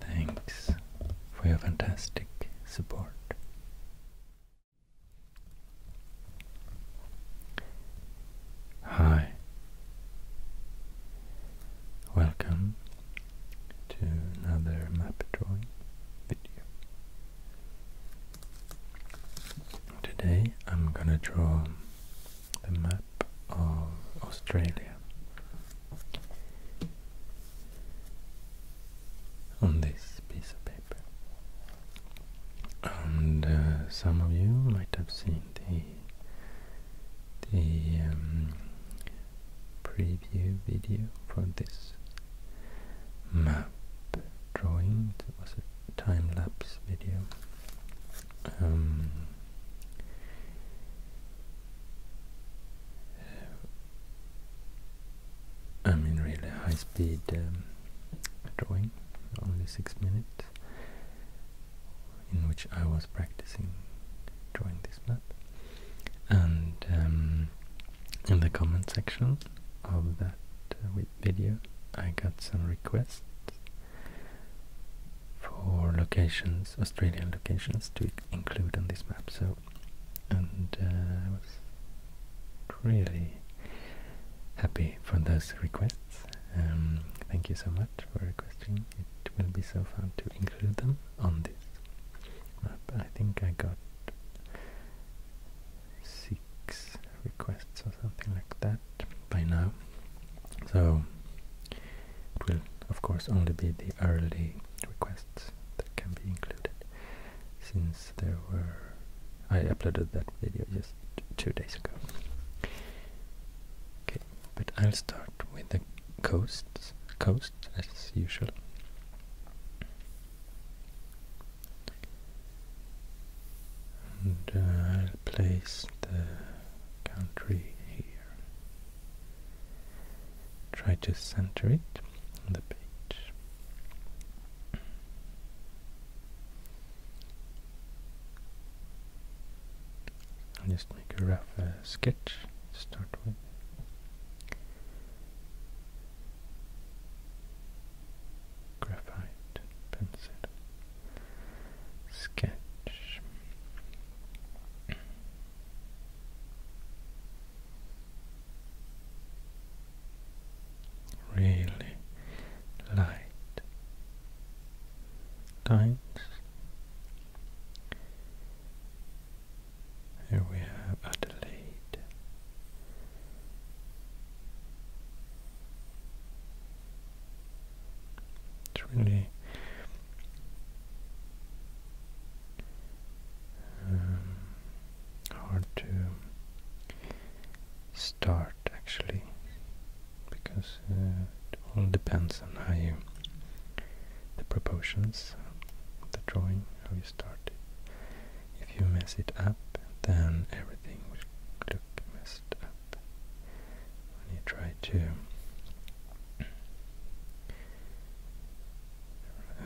Thanks for your fantastic support. Hi, welcome to another map drawing video. Today I'm gonna draw the map of Australia. On this piece of paper, and uh, some of you might have seen the the um, preview video for this map drawing. It was a time lapse video. Um, I mean, really high speed um, drawing, only six minutes in which I was practicing drawing this map. And um, in the comment section of that uh, video, I got some requests for locations, Australian locations, to include on this map. So, and uh, I was really happy for those requests. Um, thank you so much for requesting. It will be so fun to include them on this map. I think I got six requests or something like that by now. So it will of course only be the early requests that can be included since there were I uploaded that video just two days ago. Okay, but I'll start with the coasts, coast as usual. And uh, I'll place the country here. Try to center it on the page. I'll just make a rough uh, sketch start with. Graphite pencil sketch. Really light lines. Here we have Adelaide. It's really um, hard to start actually because uh, it all depends on how you the proportions of the drawing how you start it if you mess it up then everything will look messed up when you try to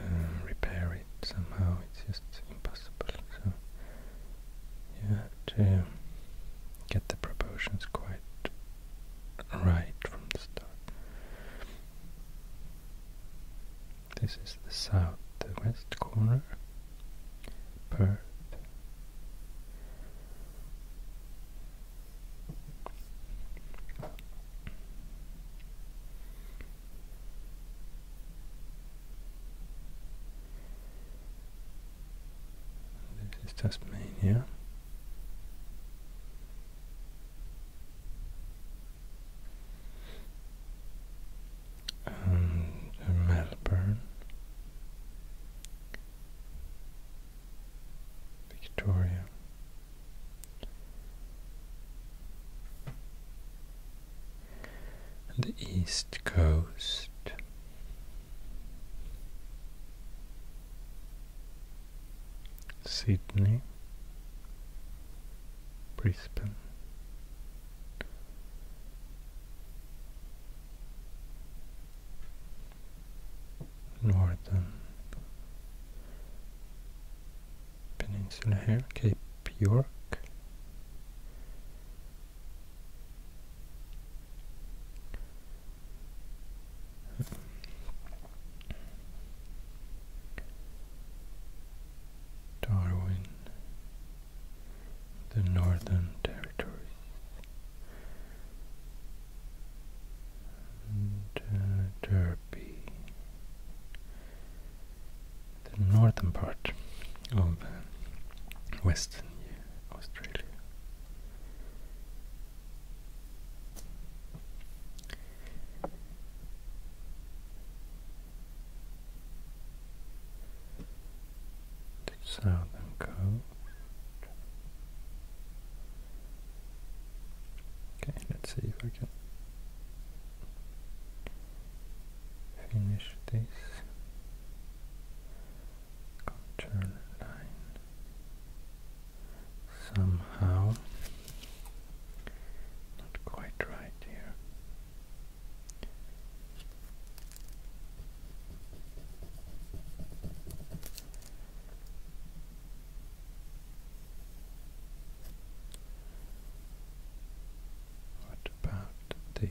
uh, repair it somehow it's just impossible so yeah to uh, get the proportions quite right from the start. This is the southwest corner, Perth. This is Tasmania. Melbourne. Victoria. the East Coast. Sydney, Brisbane, Northern Peninsula here, Cape York, Darwin, the Northern Territories, and uh, Derby, the northern part of uh, Western Australia. The southern coast. Okay, let's see if I can finish this somehow not quite right here what about this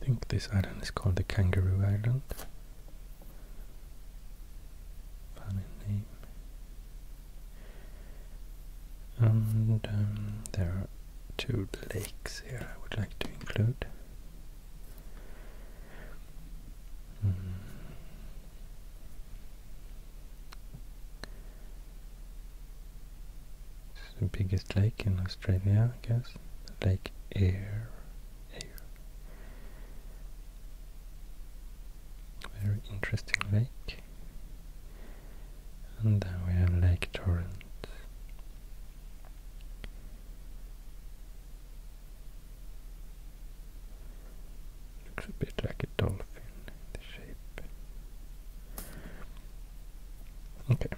I think this island is called the Kangaroo Island. Funny name. And um, there are two lakes here I would like to include. Hmm. It's the biggest lake in Australia, I guess. Lake Eyre. Very interesting lake. And then we have Lake Torrent. Looks a bit like a dolphin, the shape. Okay.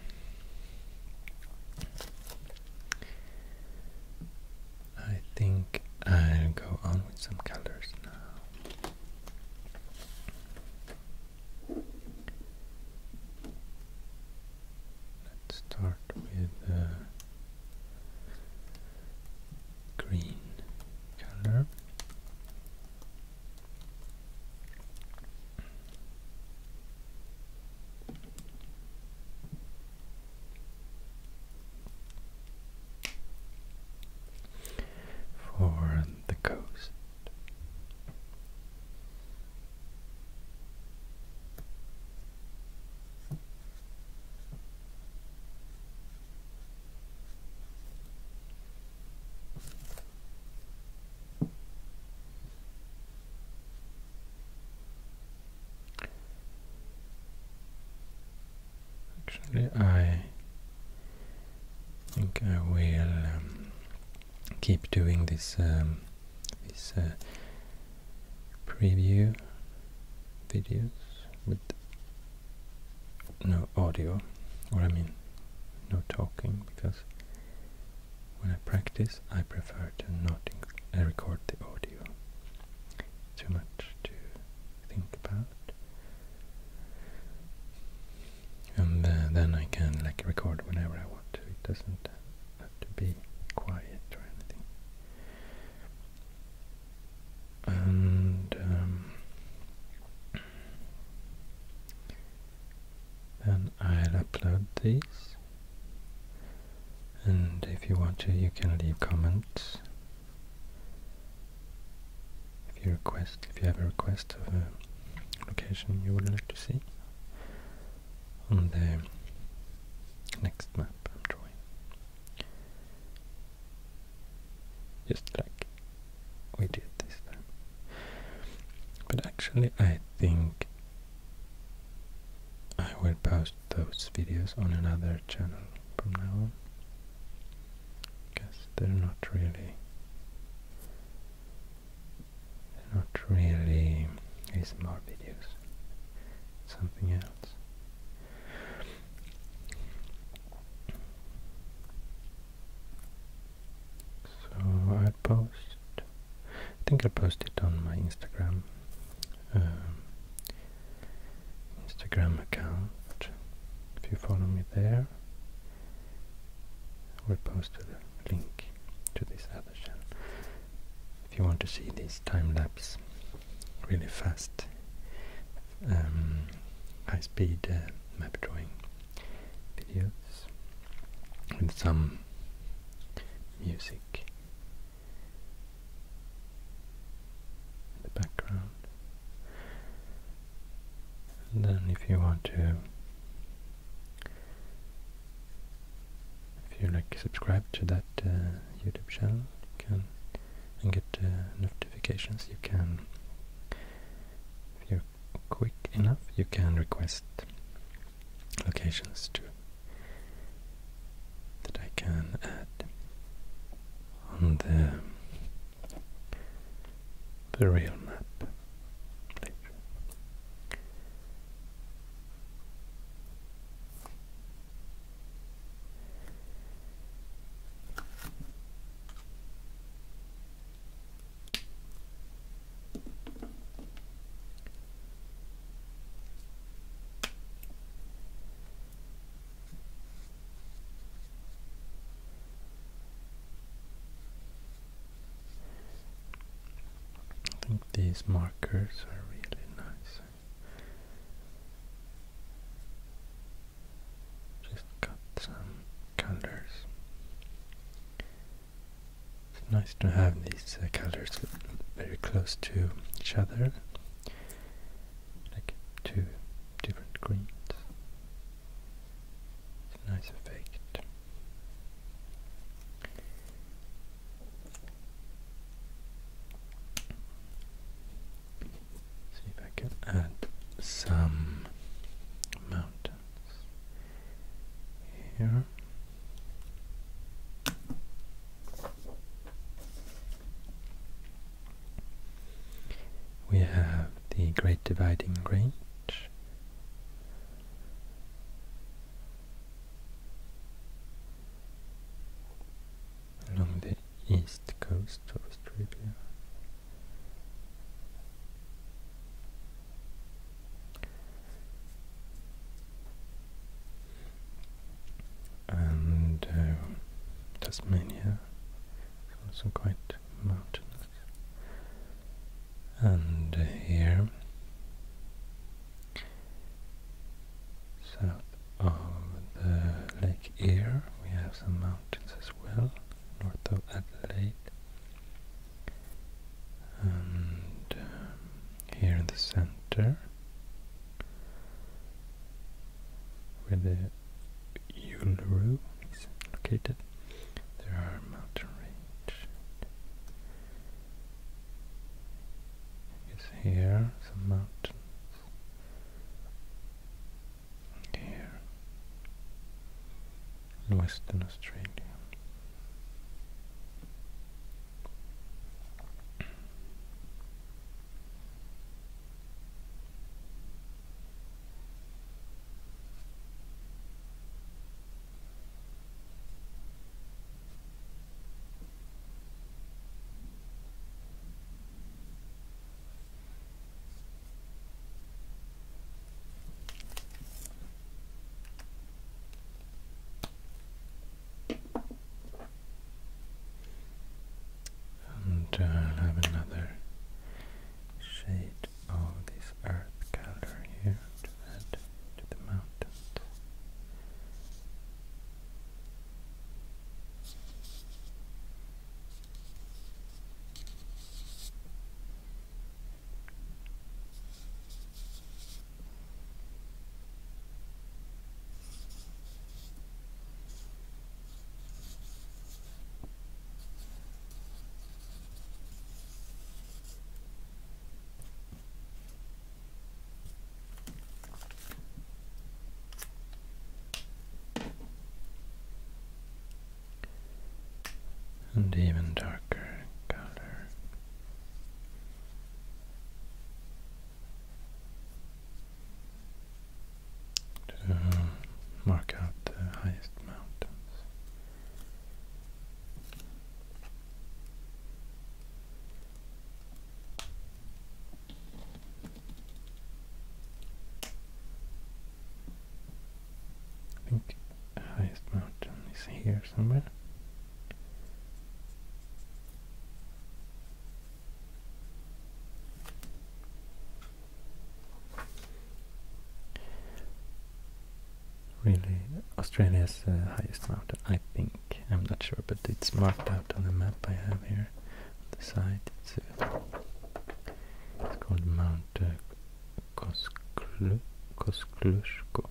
I think I'll go on with some colors now. Let's start with the uh, green color for the coast. Actually, I think I will um, keep doing this um, uh, preview videos with no audio, or I mean, no talking, because when I practice, I prefer to not uh, record the audio. Too much to think about. And uh, then I can like record whenever I want to. It doesn't have to be quiet or anything. And um, then I'll upload these and if you want to you can leave comments if you request if you have a request of a location you would like to see on the next map I'm drawing just like we did this time but actually I think I will post those videos on another channel from now on because they're not really they're not really ASMR videos something else so I post I think I'll post it on my Instagram um, Instagram account. If you follow me there, I will post the link to this other channel. If you want to see these time lapse, really fast, um, high speed uh, map drawing videos with some music in the background. And then if you want to if you like subscribe to that uh, YouTube channel you can and get uh, notifications you can if you're quick enough you can request locations too that I can add on the the real map I think these markers are really nice. Just got some colors nice to have these uh, colors very close to each other, like two different greens. nice effect. See if I can add some mountains here. We have the Great Dividing Range. along the east coast of Australia and uh, Tasmania is also quite mountainous. And uh, here, south of the Lake Eyre, we have some mountains as well, north of Adelaide and um, here in the center where the Uluru is located there are mountains. range here some mountains here in Western Australia. And uh, i have another shade of this earth color here to add to the mountains and even darker color to uh, mark out the highest mountains. think highest mountain is here somewhere. Really, Australia's highest mountain, I think. I'm not sure, but it's marked out on the map I have here on the side. It's, uh, called Mount uh, Kosklu, Koskluszko.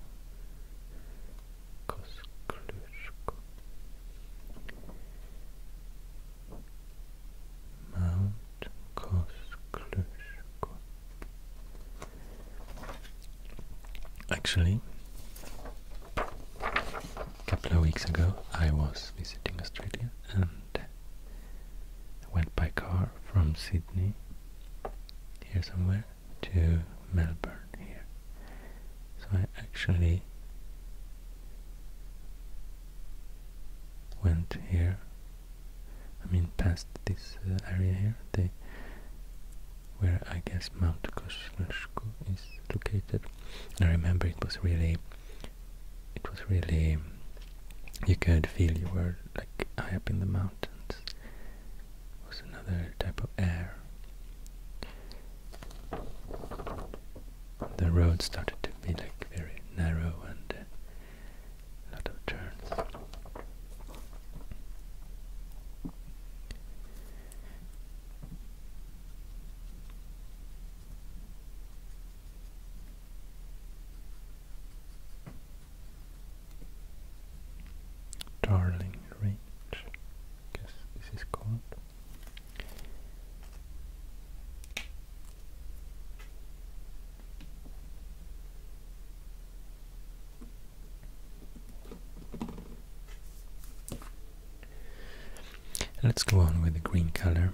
Mount Koskluszko. Actually, a couple of weeks ago I was visiting Australia and I went by car from Sydney here somewhere to Melbourne here. So I actually went here, I mean past this uh, area here, they, where I guess Mount Kosciuszko is located. And I remember it was really, it was really, you could feel you were like high up in the mountains was another type of air. The road started to be like very narrow and uh, a lot of turns. Darling Range, guess this is called. Let's go on with the green color.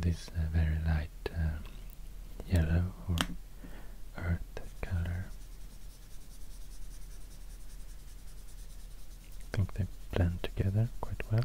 this uh, very light um, yellow or earth color. I think they blend together quite well.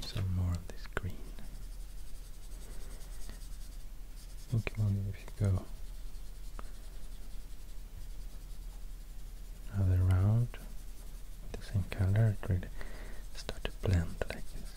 some more of this green. Pokemon, if you go another round, the same color, it really start to blend like this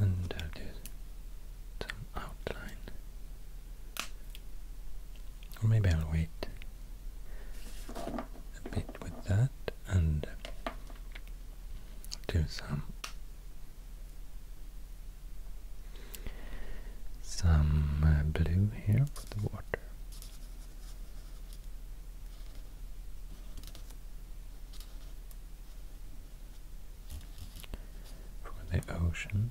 and do some outline or maybe I'll wait a bit with that and do some some uh, blue here for the water for the ocean.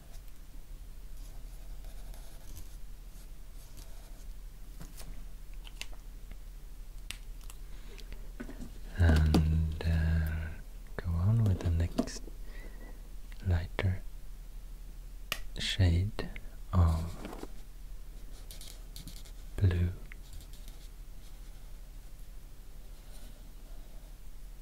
and uh, go on with the next lighter shade of blue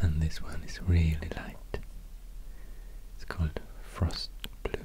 And this one is really light. It's called Frost Blue.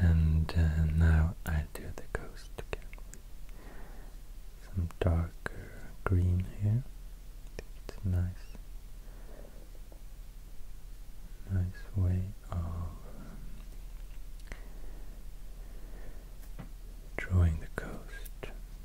And uh, now I do the coast again some darker green here. It's nice, nice way of drawing the coast.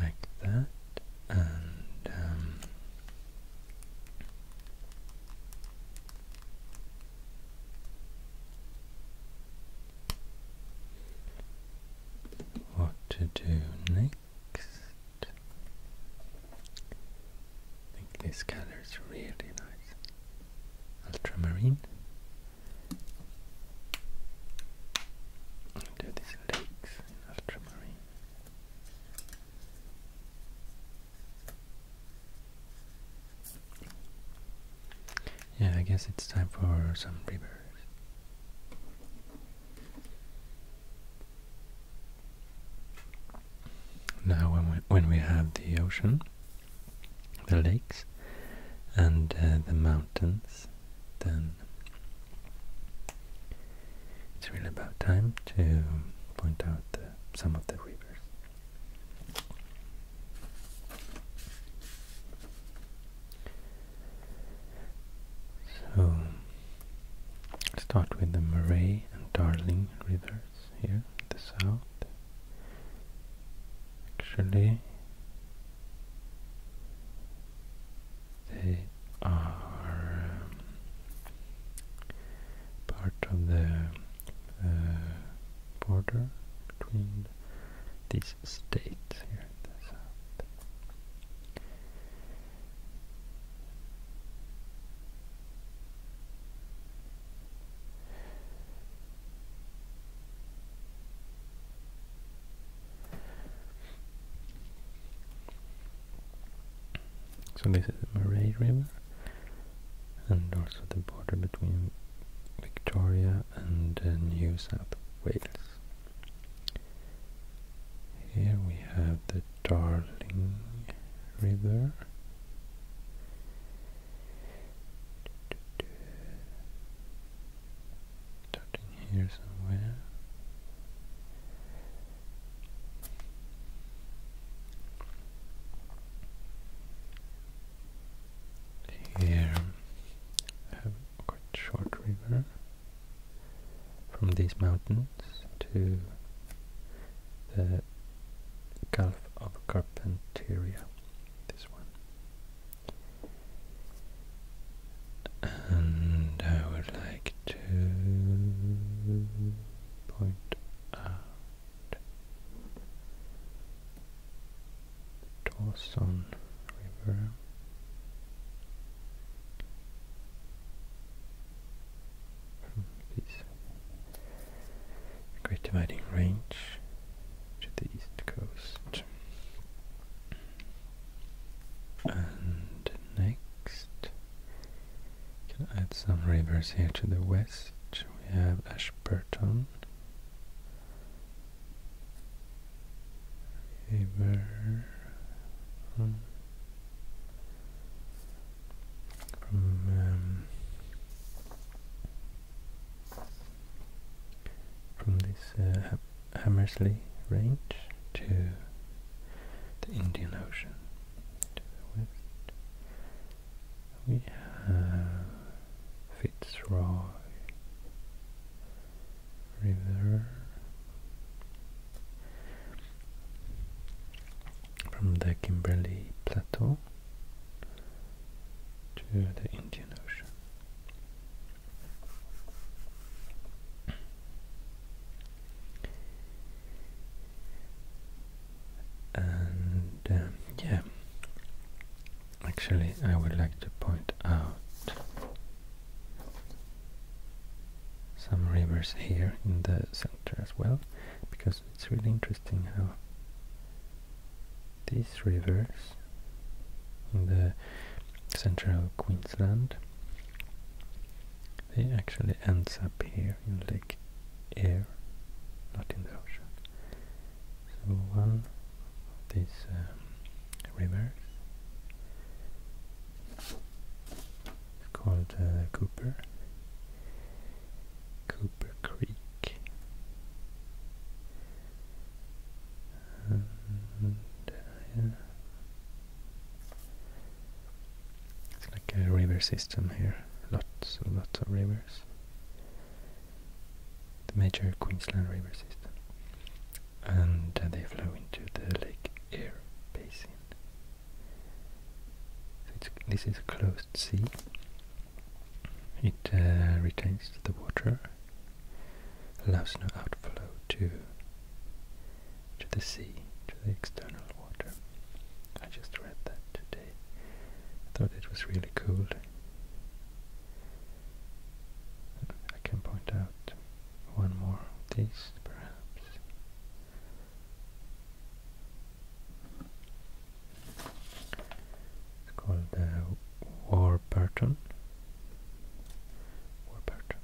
like that and um, what to do next? I think this color is really nice. Ultramarine. do these lakes in ultramarine. Yeah, I guess it's time for some rivers. Now when we, have the ocean, the lakes, and uh, the mountains, then it's really about time to point out some of the rivers. So start with the Murray and Darling rivers here in the south. Actually, they are um, part of the uh, border between these states here So this is the Murray River and also the border between Victoria and uh, New South Wales. Here we have the Darling River. Starting here somewhere. Here quite short river from these mountains to the Gulf of Carpentaria, this one. And I would like to point Dawson River. Great Dividing Range to the east coast. And next, can add some rivers here to the west. We have Ashburton, um, from, um, from this uh, Hammersley Range to the Indian Ocean to the west we have Fitzroy River from the Kimberley Plateau to the Indian Ocean. And um, yeah, Actually, I would like to point out some rivers here in the center as well, because it's really interesting how these rivers in the central Queensland they actually ends up here in Lake Eyre, not in the ocean. So one of these uh, rivers is called uh, Cooper, Cooper Creek. Uh, it's like a river system here, lots lots of rivers the major Queensland river system, and uh, they flow into the Lake Eyre basin. this is a closed sea. It uh, retains the water, allows no outflow to the sea, to the external water. I just read that today. thought it was really cool. I can point out one more of perhaps. It's called the Warburton. Warburton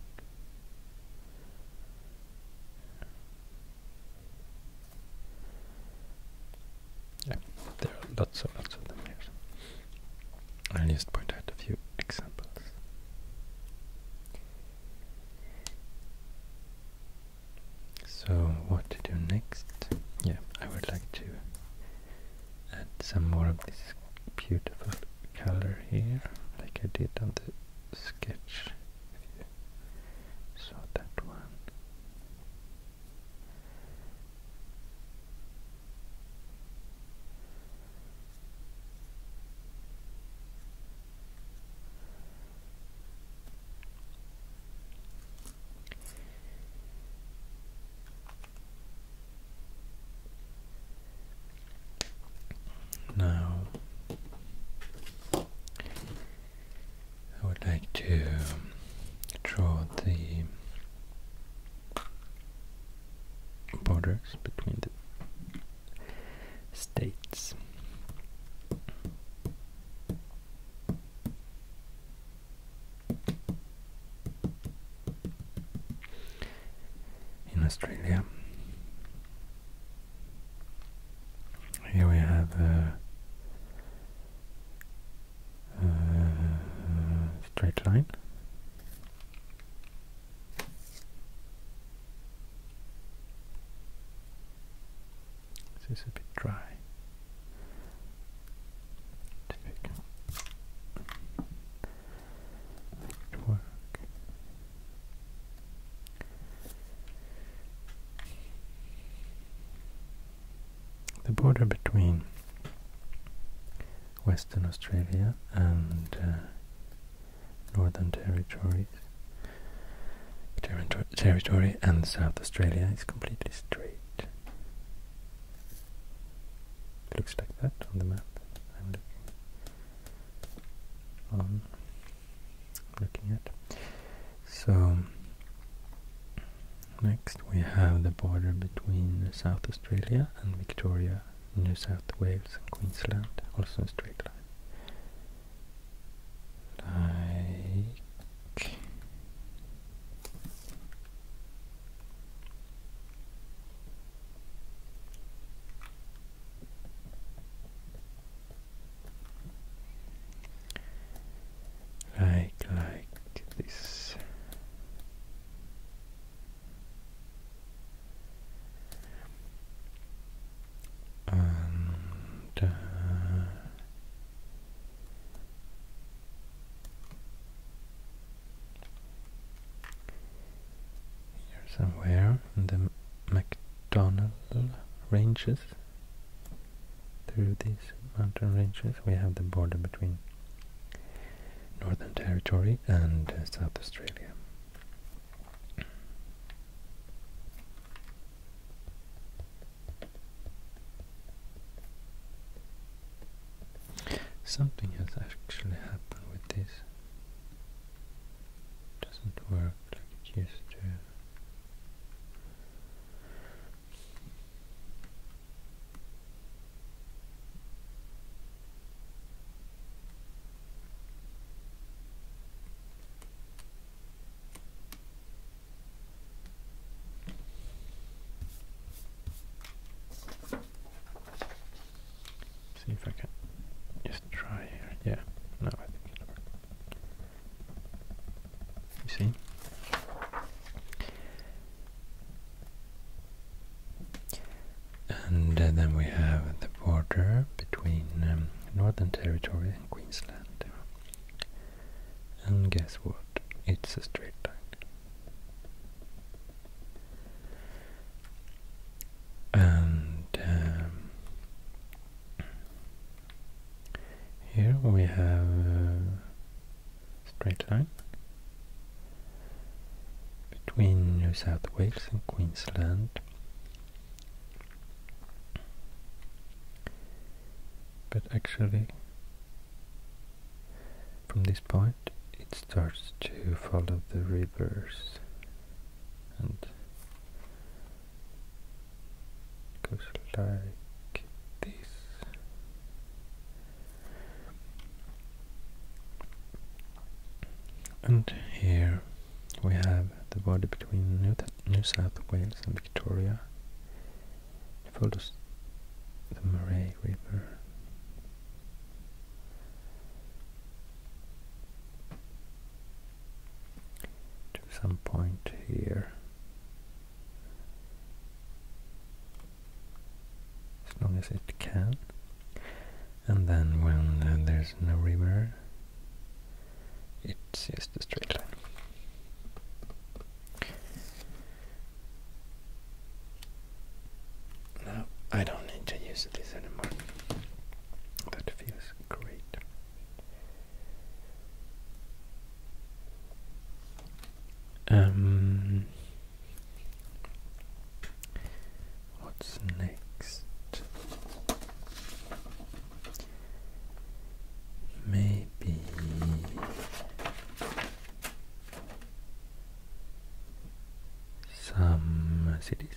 yeah, there are lots and lots of them here. I'll just point out a few examples. So what to do next? Yeah, I would like to add some more of this beautiful color here, like I did on the sketch. saw that one. Now, I would like to draw the borders between the states. In Australia, here we have uh, straight line. This is a bit dry. It the border between Western Australia and uh, Northern Territories territory, and South Australia is completely straight. It looks like that on the map I'm looking at. So Next we have the border between South Australia and Victoria, New South Wales and Queensland, also a straight line. Like like like this and uh, here somewhere in the McDonald ranges through these mountain ranges we have the border between Northern Territory and uh, South Australia. Something has actually happened with this. It doesn't work like it used to. See if I can just try here. Yeah, no, I think it'll work. You see? And uh, then we have the border between um, Northern Territory and Queensland. And guess what? It's a straight line. And um, here we have uh, straight line between New South Wales and Queensland. But actually, from this point, it starts to follow the rivers and goes like this and here we have the border between New, South Wales and Victoria. follows the Murray River. to some point here as long as it can and then when uh, there's no river it's just a straight line now I don't need to use this anymore that feels great um, what's next? Maybe some cities.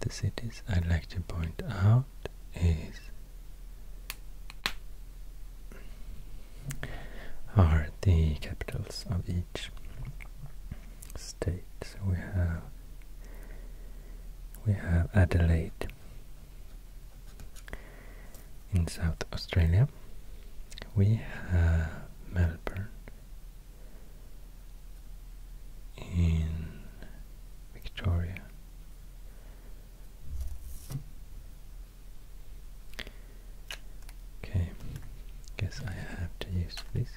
The cities I'd like to point out is are the capitals of each state. So we have we have Adelaide in South Australia, we have Melbourne in Victoria. Okay, guess I have to use this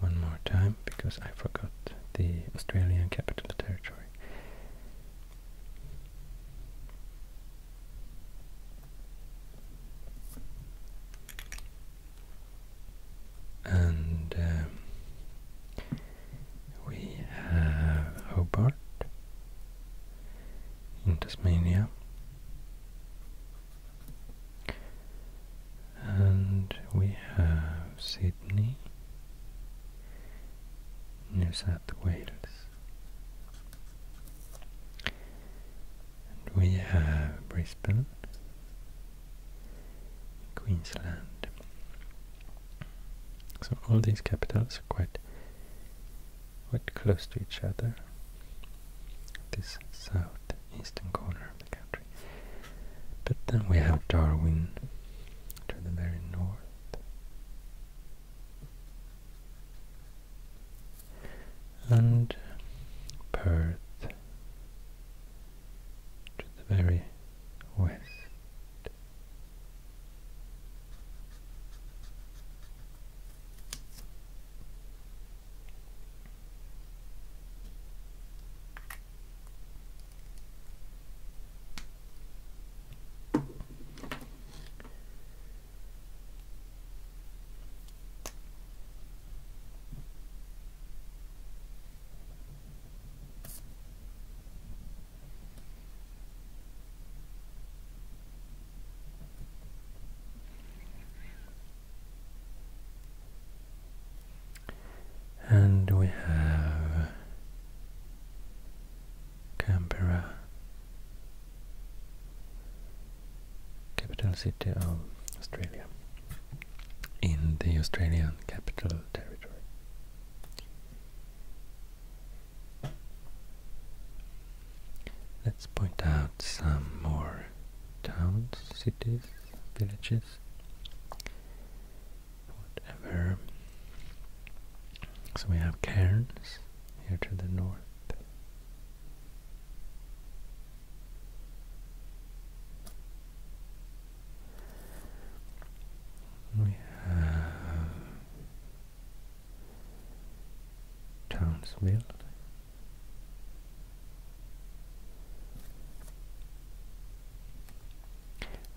one more time because I forgot the Australian Capital Territory. And um, we have Hobart in Tasmania. And we have Sydney, New South Wales. And we have Brisbane, Queensland. So all these capitals are quite, quite close to each other. This southeastern corner of the country. But then we have Darwin to the very north and Perth to the very west. And we have Canberra, capital city of Australia, in the Australian Capital Territory. Let's point out some more towns, cities, villages, whatever. So we have Cairns, here to the north. We have Townsville.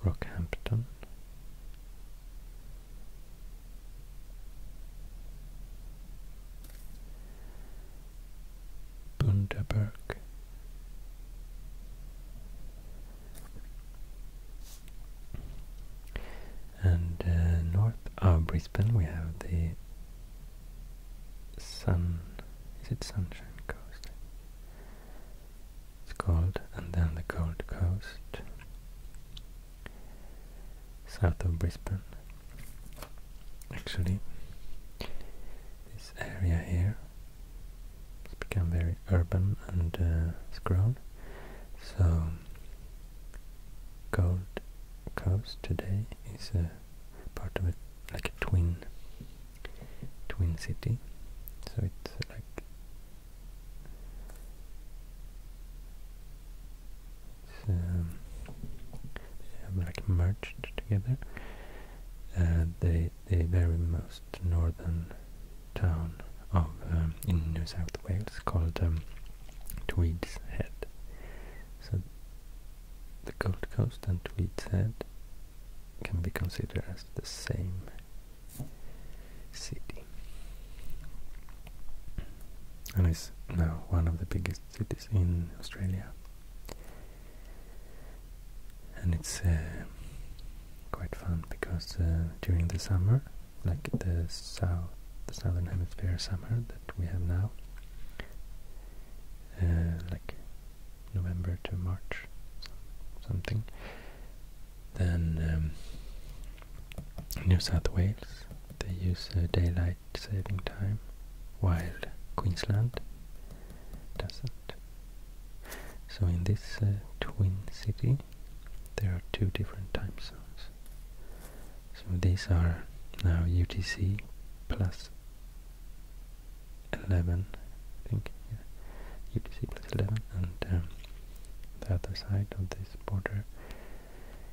Rockhampton, Bundaberg and uh, north of Brisbane we have the Sun, is it Sunshine Coast? It's called, and then the Gold Coast south of Brisbane. Actually, this area here has become very urban and uh, it's grown. So, Gold Coast today is a part of it, like a twin twin city. So it's like so, um, they have like merged together. Uh, they the very most northern town of um, in New South Wales called um, Tweed's Head. So the Gold Coast and Tweed's Head can be considered as the same city. And it's now one of the biggest cities in Australia. And it's uh, quite fun because uh, during the summer, like the south, the southern hemisphere summer that we have now, uh, like November to March, something, then um, New South Wales, they use uh, daylight saving time, while Queensland doesn't. So in this uh, twin city, there are two different time zones. So these are now UTC plus 11, I think, UTC plus 11, and um, the other side of this border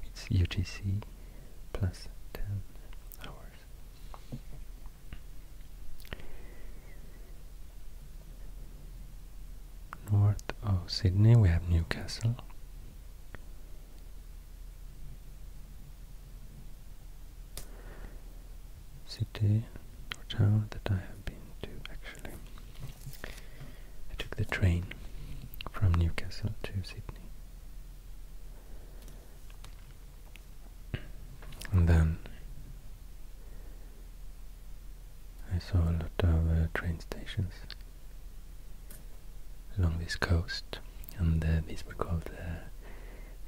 it's UTC plus 10 hours. North of Sydney we have Newcastle. City or that I have been to actually. I took the train from Newcastle to Sydney. And then I saw a lot of uh, train stations along this coast, and uh, these were called uh,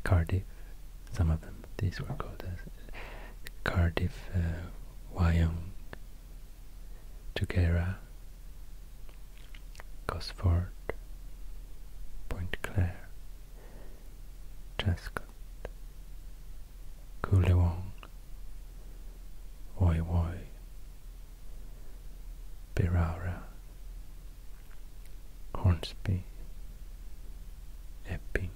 Cardiff, some of them, these were called Cardiff, Wyong, Tugera, Gosford, Point Claire, Jascot, Coolewong, Woi Woi, Birara, Hornsby, Epping,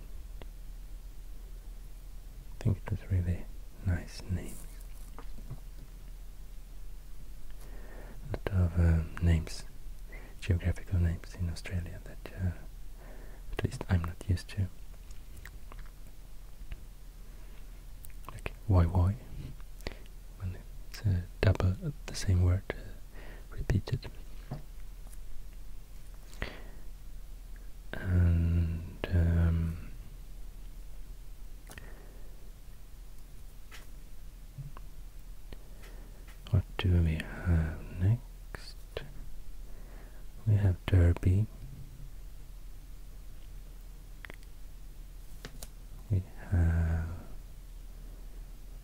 I think it was really nice names. A lot of um, names, geographical names in Australia that uh, at least I'm not used to. Like why why it's uh, double the same word uh, repeated. And um, what do we have next? We have Derby. We have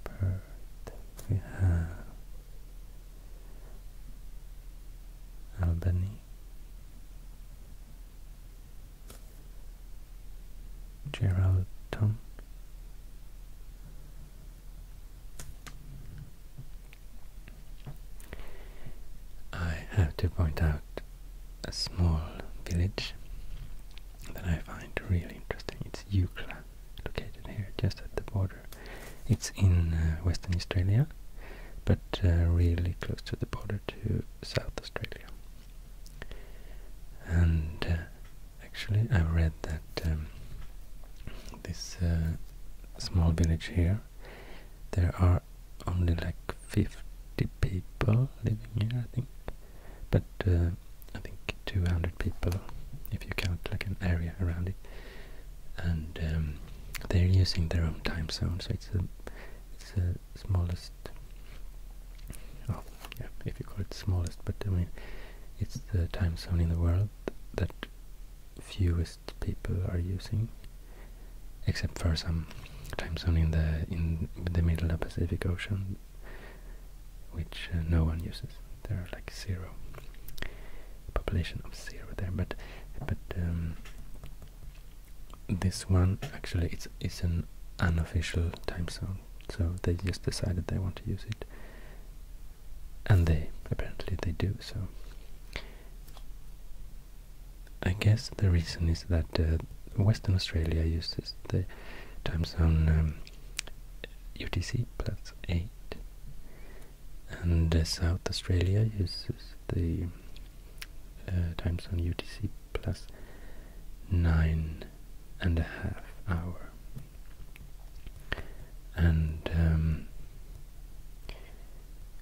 Perth. We have Albany. Geraldton I have to point out a small village that I find really interesting. It's Eucla, located here just at the border. It's in uh, Western Australia, but uh, really close to the border to South Australia. And uh, actually, I read that um, this uh, small village here, there are only like 50 people living here, I think. But uh, I think 200 people, if you count like an area around it. And um, they're using their own time zone, so it's a it's a smallest oh yeah if you call it smallest but I mean it's the time zone in the world that fewest people are using except for some time zone in the in the middle of Pacific Ocean which uh, no one uses there are like zero population of zero there but but um, this one actually it's it's an unofficial time zone, so they just decided they want to use it, and they apparently they do so. I guess the reason is that uh, Western Australia uses the time zone UTC um, plus eight, and uh, South Australia uses the uh, times on UTC plus nine and a half hour. And um,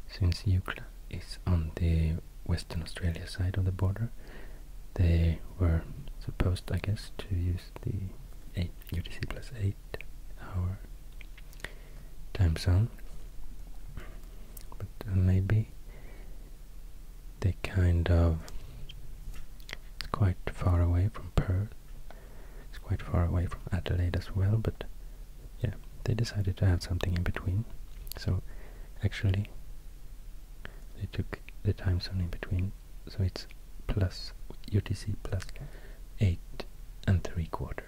since Eucla is on the Western Australia side of the border, they were supposed, I guess, to use the eight, UTC plus eight hour time zone but uh, maybe they kind of it's quite far away from Perth it's quite far away from Adelaide as well but yeah they decided to have something in between so actually they took the time zone in between so it's plus UTC plus 8 and 3 quarters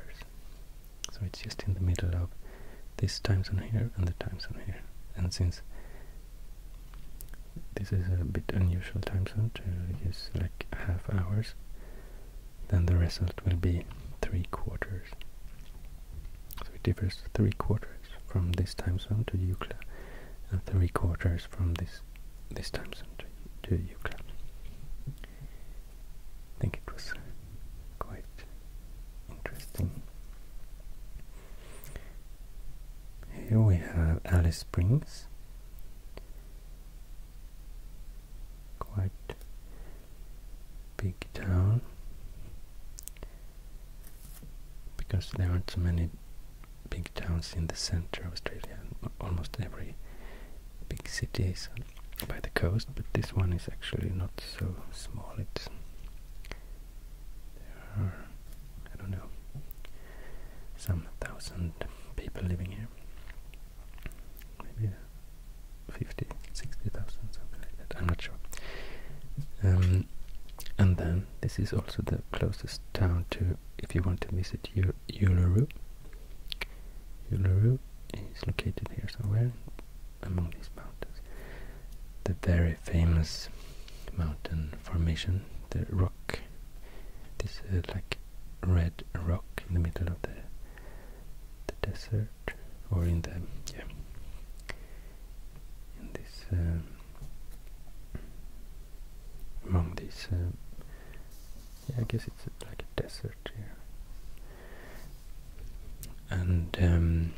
so it's just in the middle of this time zone here and the time zone here and since this is a bit unusual time zone to like half hours then the result will be three quarters so it differs three quarters from this time zone to Euclid and three quarters from this this time zone to, to Euclid I think it was quite interesting. Here we have Alice Springs. Quite big town because there aren't so many big towns in the center of Australia. Almost every big city is by the coast, but this one is actually not so small. It's there are I don't know some thousand people living here, maybe fifty, sixty thousand, something like that. I'm not sure. Um, and then this is also the closest town to if you want to visit Ul Uluru. Uluru is located here somewhere among these mountains. The very famous mountain formation, the rock, this uh, like red rock in the middle of the the desert, or in the yeah, in this um, among these. Um, yeah, I guess it's uh, like a desert here and um,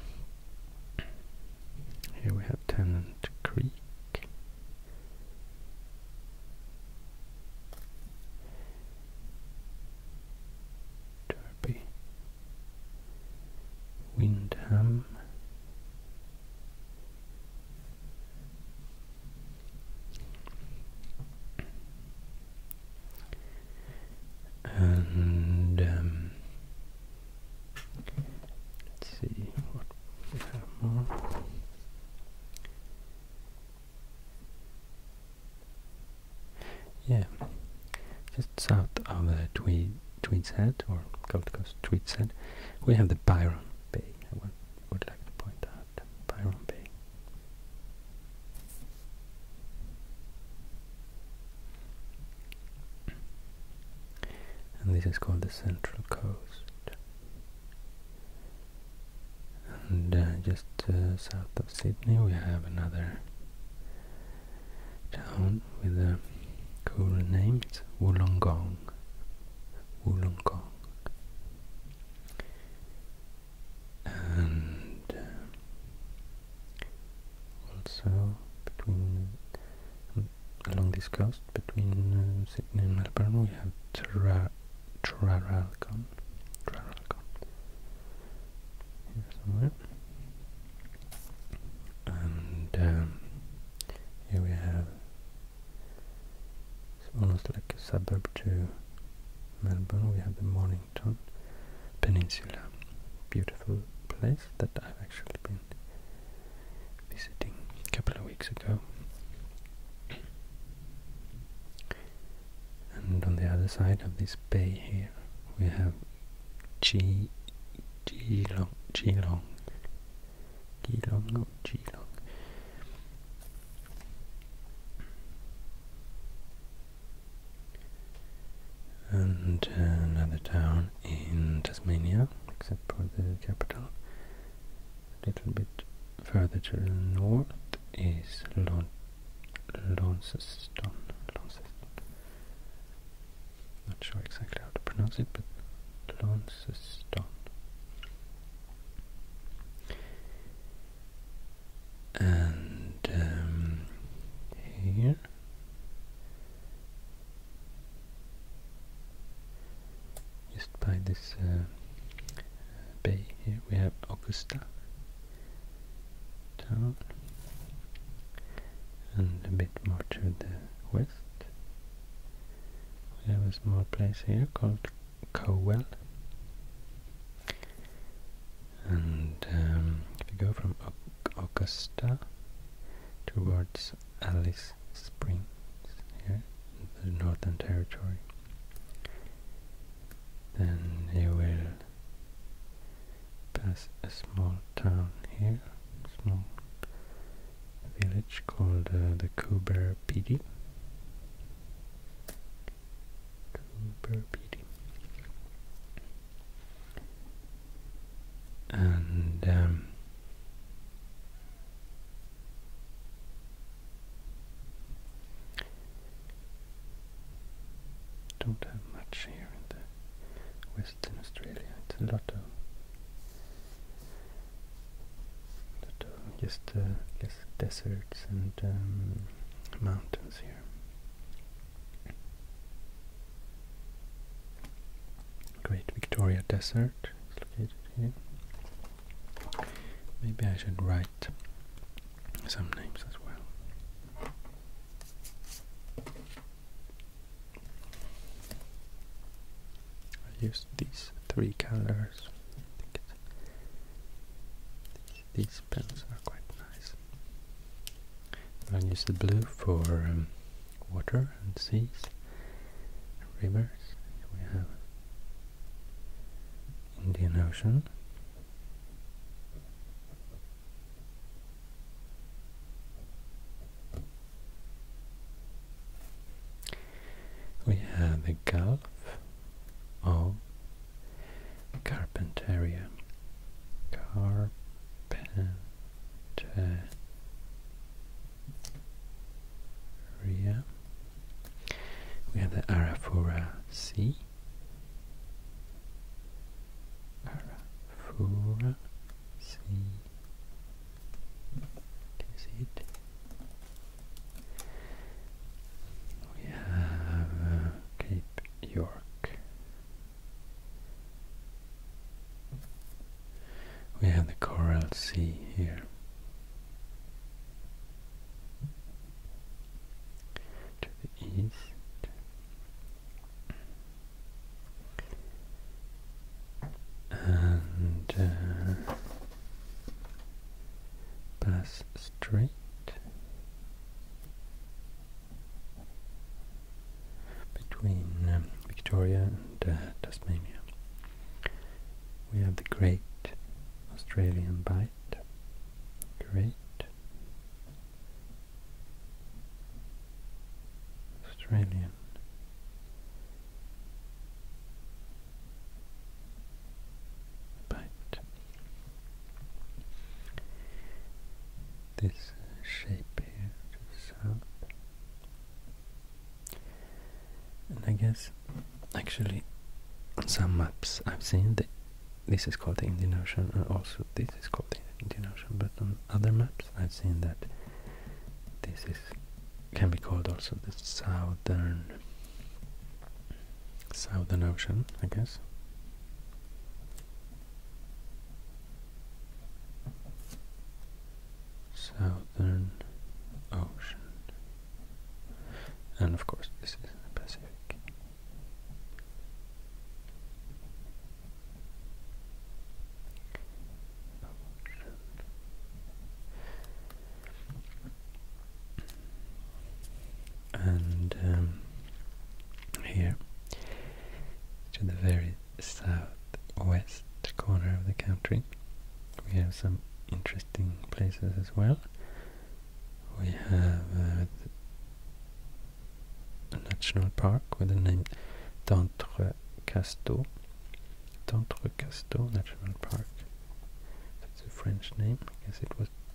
here we have Tennant Creek. Derby, Windham, and um, let's see what we have more. Yeah, just south of the uh, Tweed, Tweed's Head or Gold Coast Tweed's Head, we have the Byron Bay. I would like to point out Byron Bay and this is called the Central Coast and uh, just uh, south of Sydney we have another town with a cool name, it's Wollongong Wollongong and uh, also between um, along this coast between uh, Sydney and Melbourne we have Traralgon Traralgon here somewhere and um, here we have almost like a suburb to Melbourne we have the morning Peninsula. Beautiful place that I've actually been visiting a couple of weeks ago. And on the other side of this bay here, we have Ge Geelong, Geelong, Geelong, no, Long. Uh, another town in Tasmania, except for the capital. A little bit further to the north is Lon Launceston. Not sure exactly how to pronounce it, but Launceston and um, here just by this uh, bay here we have Augusta town and a bit more to the west we have a small place here called Cowell and um, if you go from Augusta towards Alice Springs here, the Northern Territory, then you will pass a small town here, small village called uh, the Coober PD. Coober PD and um, don't have much here in the Western Australia. It's a lot of, lot uh, just deserts and um, mountains here. Great Victoria Desert Maybe I should write some names as well. I use these three colors. These pens are quite nice. And I use the blue for um, water and seas, and rivers. we have Indian Ocean. We have the Gulf of Carpentaria. Carpentaria. We have the Arafura Sea. Arafura Sea. Can you see it? We have uh, Cape York. We have the Coral Sea here. To the east. And uh, Bass Strait between um, Victoria and uh, Tasmania. We have the Great Australian Bite. Great Australian Bite this shape here to the south. And I guess, actually, some maps I've seen that this is called the Indian Ocean, and also this is called the Indian Ocean, but on other maps I've seen that this is can be called also the southern southern ocean, I guess. Southern Ocean. And of course, this is the Pacific. And um, here to the very southwest corner of the country. We have some interesting places as well. We have uh, a national park with the name D'Entrecasteaux. D'Entrecasteaux National Park. That's a French name. I guess it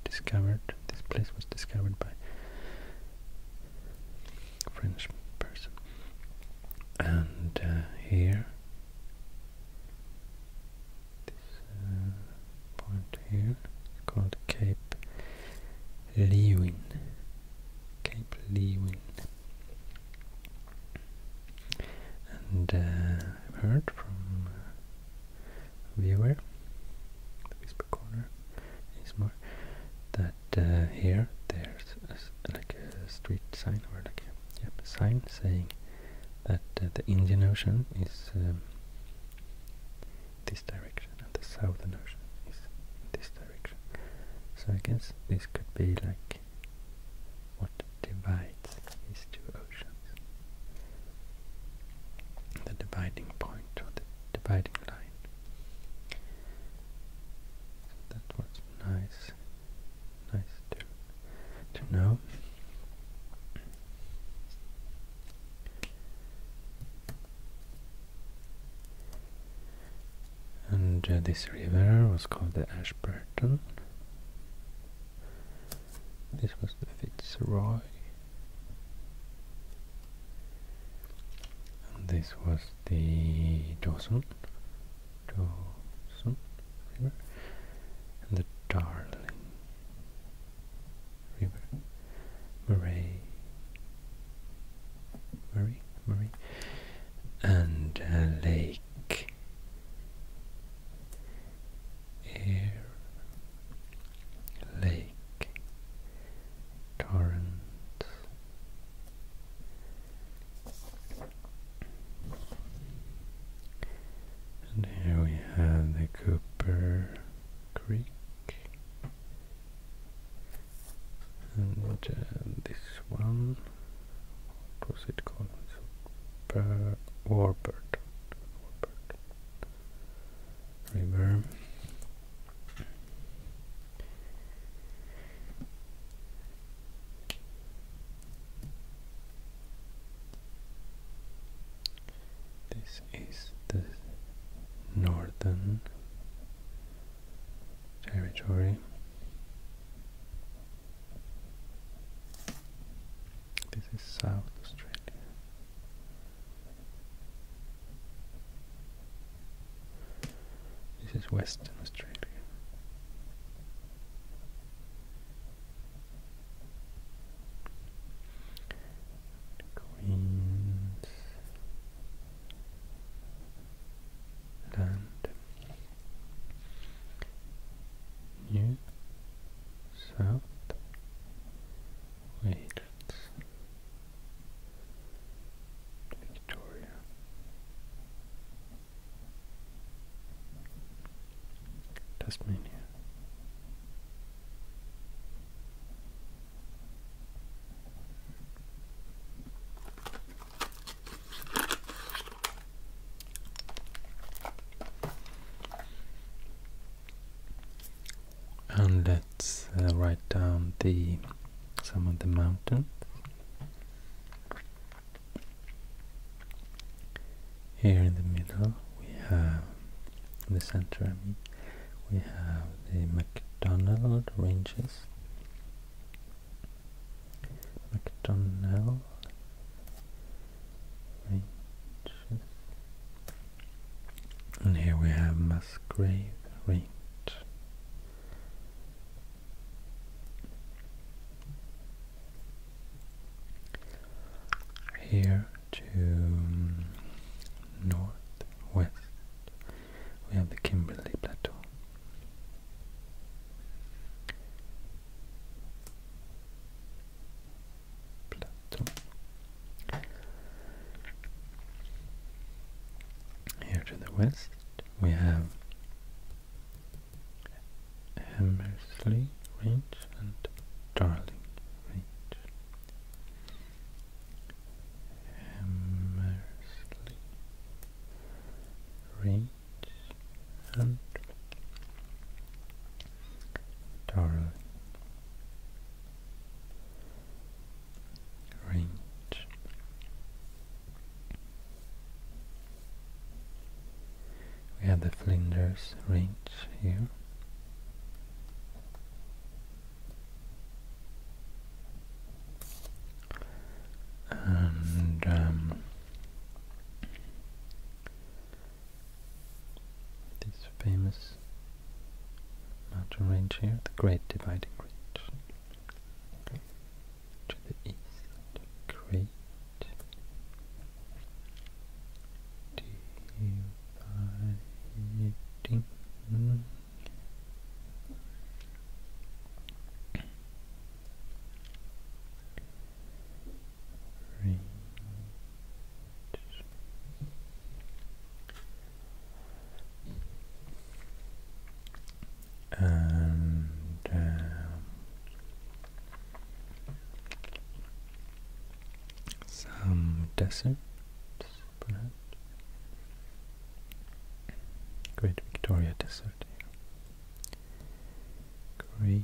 discovered. This place was discovered by French person, and uh, here, this uh, point here is called Cape Lewin. Cape Lewin, and uh, heard from viewer per corner ASMR that uh, here there's like a street sign or like a sign saying that uh, the Indian Ocean is um, this direction and the Southern Ocean is this direction. So I guess this could be like what divides these two oceans. The dividing point or the dividing line. That was nice, nice to, to know. And uh, this river was called the Ashburton. This was the Fitzroy. And this was the Dawson, Dawson River, and the Darling River, Murray, Murray, Murray, and uh, Lake Air, Lake torrent. And here we have the Cooper Creek. And this one, was it called? Warburton. Reverb. this is the northern territory this is South Australia this is Western Australia. Queensland, New South Wales. Victoria. Tasmania and let's uh, write down the some of the mountains here in the middle we have the center we have the McDonald ranges McDonald range and here we have Musgrave Range. Here to um, northwest we have the Kimberley Plateau. Here to the west we have Hammersley Range and Darling Range. Hammersley Range and Darling range. We have the Flinders range here. And um, this famous mountain range here, the Great Dividing Range. To the east, Great Dividing Range and uh, some deserts, perhaps. Great Victoria Desert. Great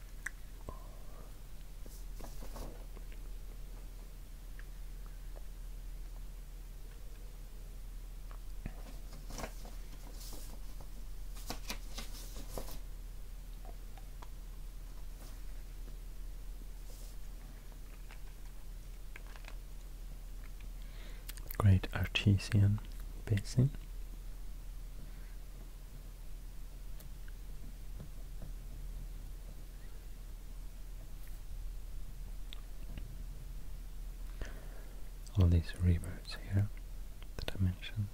Great Artesian Basin all these rivers here that I mentioned.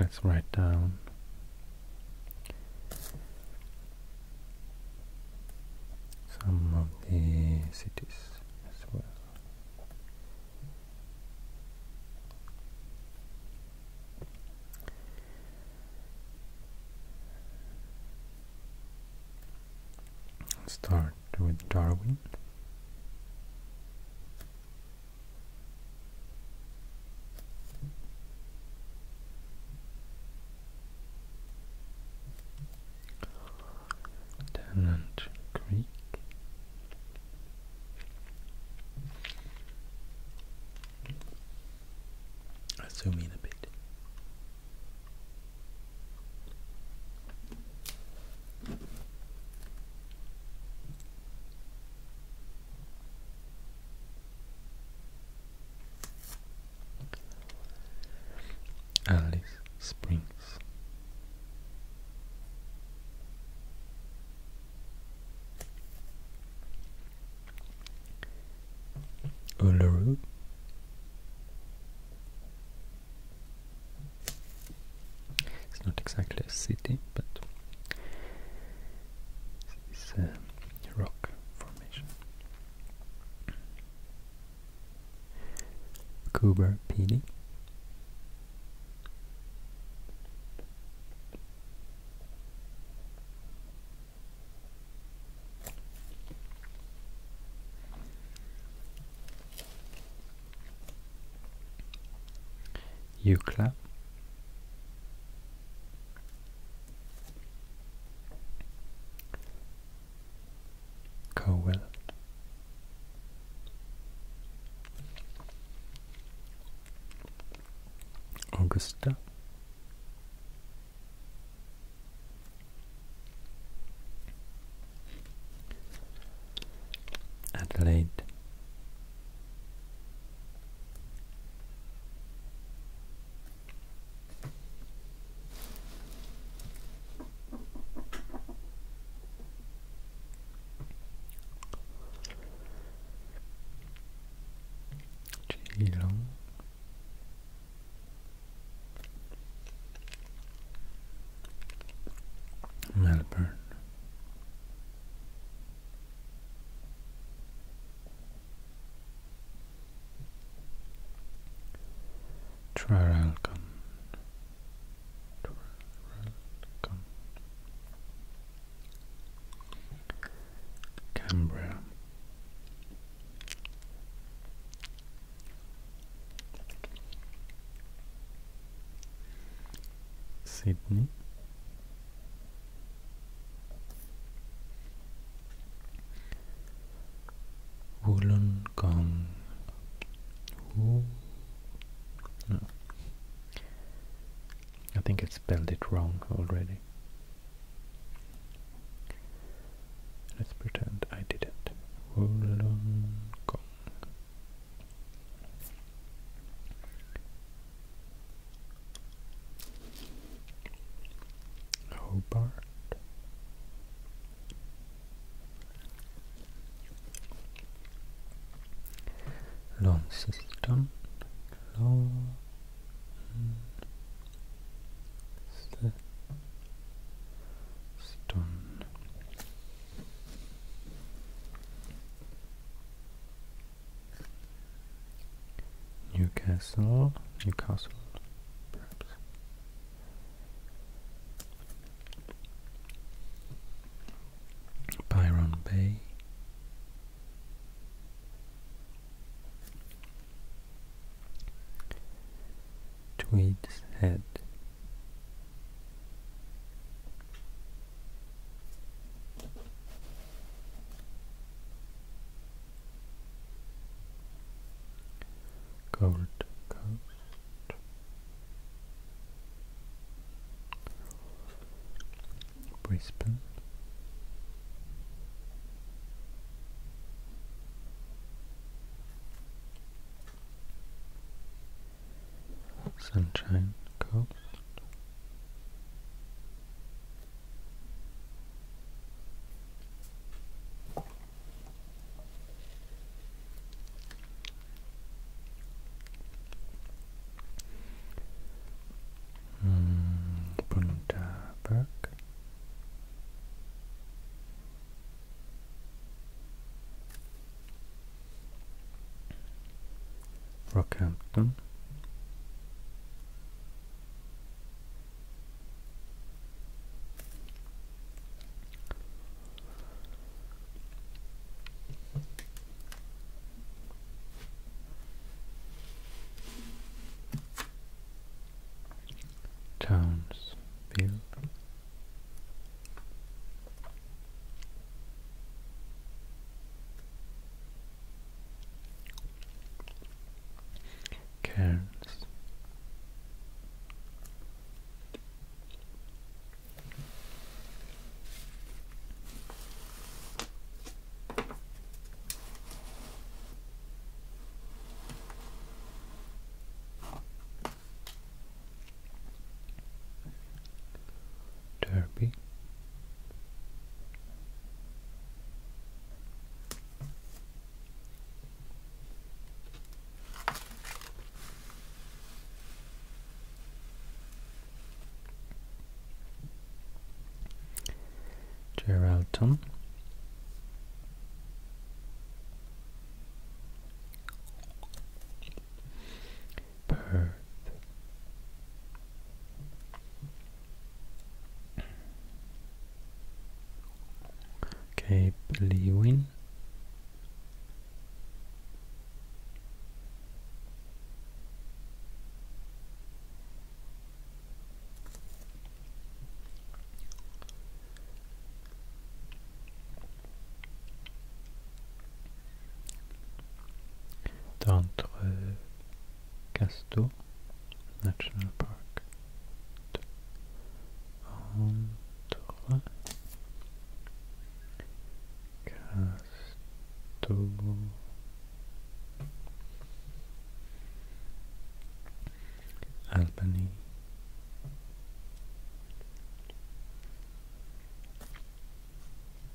Let's write down some of the cities as well. Start with Darwin. Tennant Creek. Let's zoom in a bit. Alice Springs. Uluru It's not exactly a city, but this is a rock formation. Coober PD. Eucla. Cowell. Augusta. Adelaide Geelong Melbourne Traralgon. Traralgon. Canberra. Sydney. Wollongong. I think I spelled it wrong already. Let's pretend I didn't. Wollongong. Hobart. Launceston. Launceston. Newcastle, Newcastle, perhaps. Byron Bay. Tweed's Head Gold Coast. Brisbane. Sunshine Coast Bundaberg. Rockhampton. Townsville. Cairns Derby. Geraldton. Perth. Cape Lewin. d'entre uh, Gasto National Park entre Gasto Albany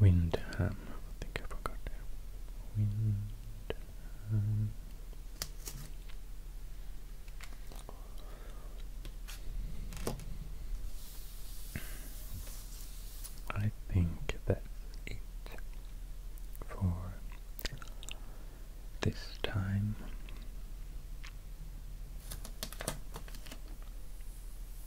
Windham. I think I forgot. Windham. I think that's it for this time.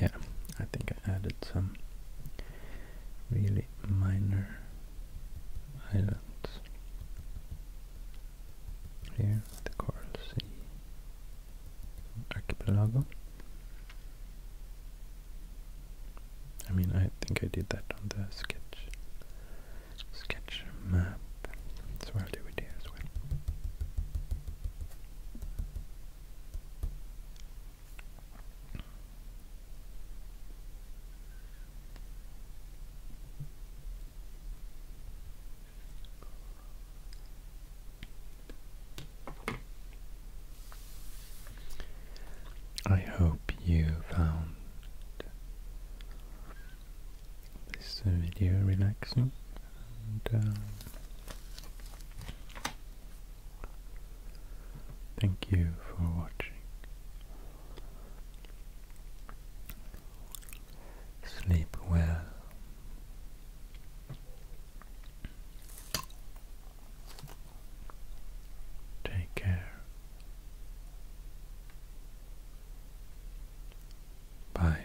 yeah, I think I added some really minor islands here, the Coral Sea Archipelago. I mean, I think I did that on the sketch sketch map, so I'll do it here as well. I hope you found this video relaxing and uh, Thank you for watching. Sleep well. Take care. Bye.